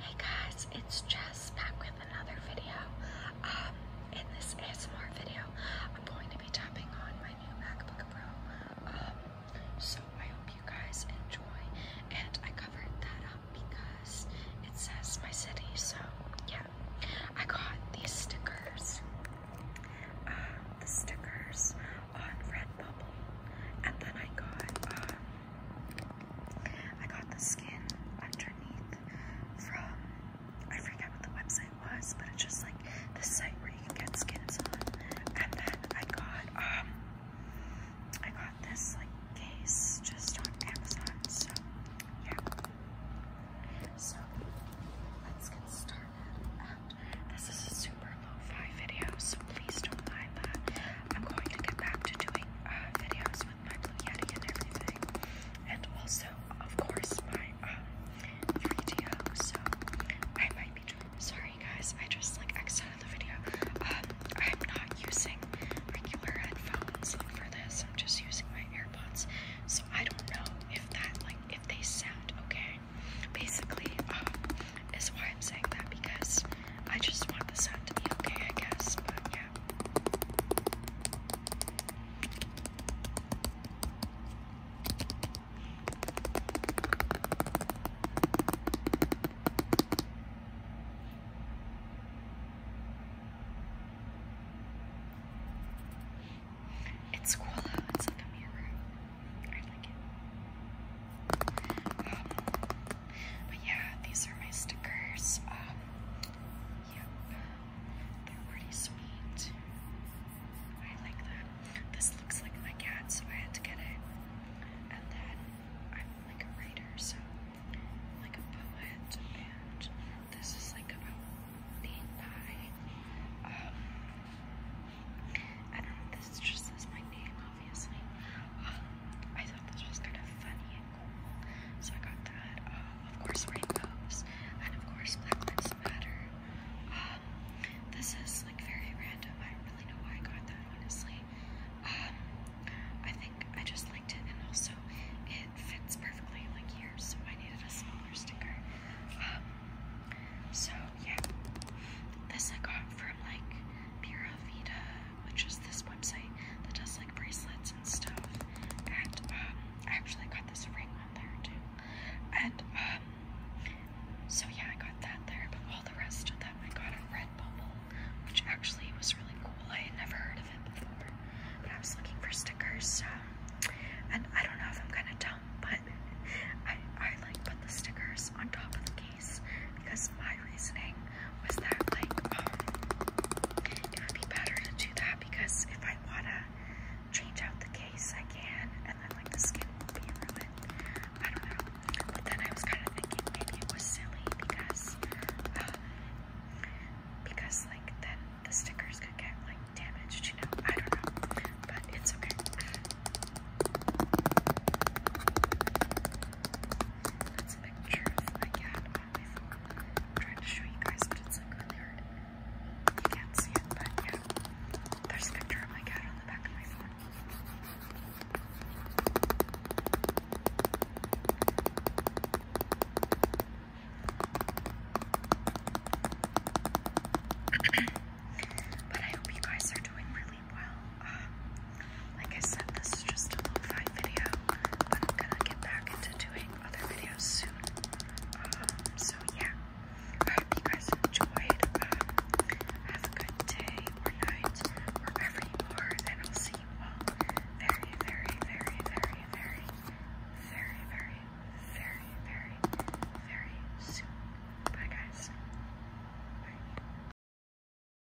Hey guys, it's Jess back with another video. Um, in this ASMR video, I'm going to be tapping on my new MacBook Pro. Um, so I hope you guys enjoy. And I covered that up because it says my city, so yeah. I got these stickers. Uh, the stickers on Redbubble. And then I got um, I got the skin underneath from I forget what the website was, but it's just like the site where you can get skins on. And then I got um I got this like case just on Amazon. So yeah. So let's get started. And um, this is a super low-fi video, so please don't mind that. I'm going to get back to doing uh, videos with my Blue Yeti and everything. And also, of course, my um, 3DO. So I might be doing. Sorry, guys. I just like exited the video. Um, I'm not using regular headphones for this. I'm just using my earbuds, So I don't know if that like if they sound okay. Basically, um, is why I'm saying that because I just want the sound to be okay, I guess, but yeah. It's cool it's like a mirror. I like it. Um, but yeah, these are my stickers. Um, yep, they're pretty sweet. I like them. This looks like my cat, so I had to get it. And then I'm like a writer, so like a poet, and this is like about being high. Um, I don't know, this just my name obviously. Um, I thought this was kind of funny and cool, so I got that. Uh, of course, rainbows, and of course, Black Lives Matter. Um, this is like very random. I don't really know why I got that, honestly. Um, I think I just liked it, and also it fits perfectly like here, so I needed a smaller sticker. so yeah, this I got from like Pura Vida which is this website that does like bracelets and stuff. And um, I actually got this ring on there too. And um, so yeah, I got that there, but all the rest of them I got on bubble, which actually was really cool. I had never heard of it before, but I was looking for stickers. so and I don't know if I'm gonna dump, but I I like put the stickers on top of the game because my reasoning was that like um it would be better to do that because if I wanna change out the case I can and then like the skin will I don't know. But then I was kinda thinking it was silly because uh, because like then the stickers could get like damaged, I don't know. But it's okay. That's a picture of my cat on my phone. I'm trying to show you guys, but it's like really hard. You can't see it, but yeah. There's a picture of my cat on the back of my phone. but I hope you guys are doing really well. Um, like I said, this is just a lo-fi video, but I'm gonna get back into doing other videos soon. Um, so yeah, I hope you guys enjoyed. Um, have a good day or night, wherever you are, and I'll see you all very, very, very, very, very, very, very, very, very, very soon. Bye guys. Bye.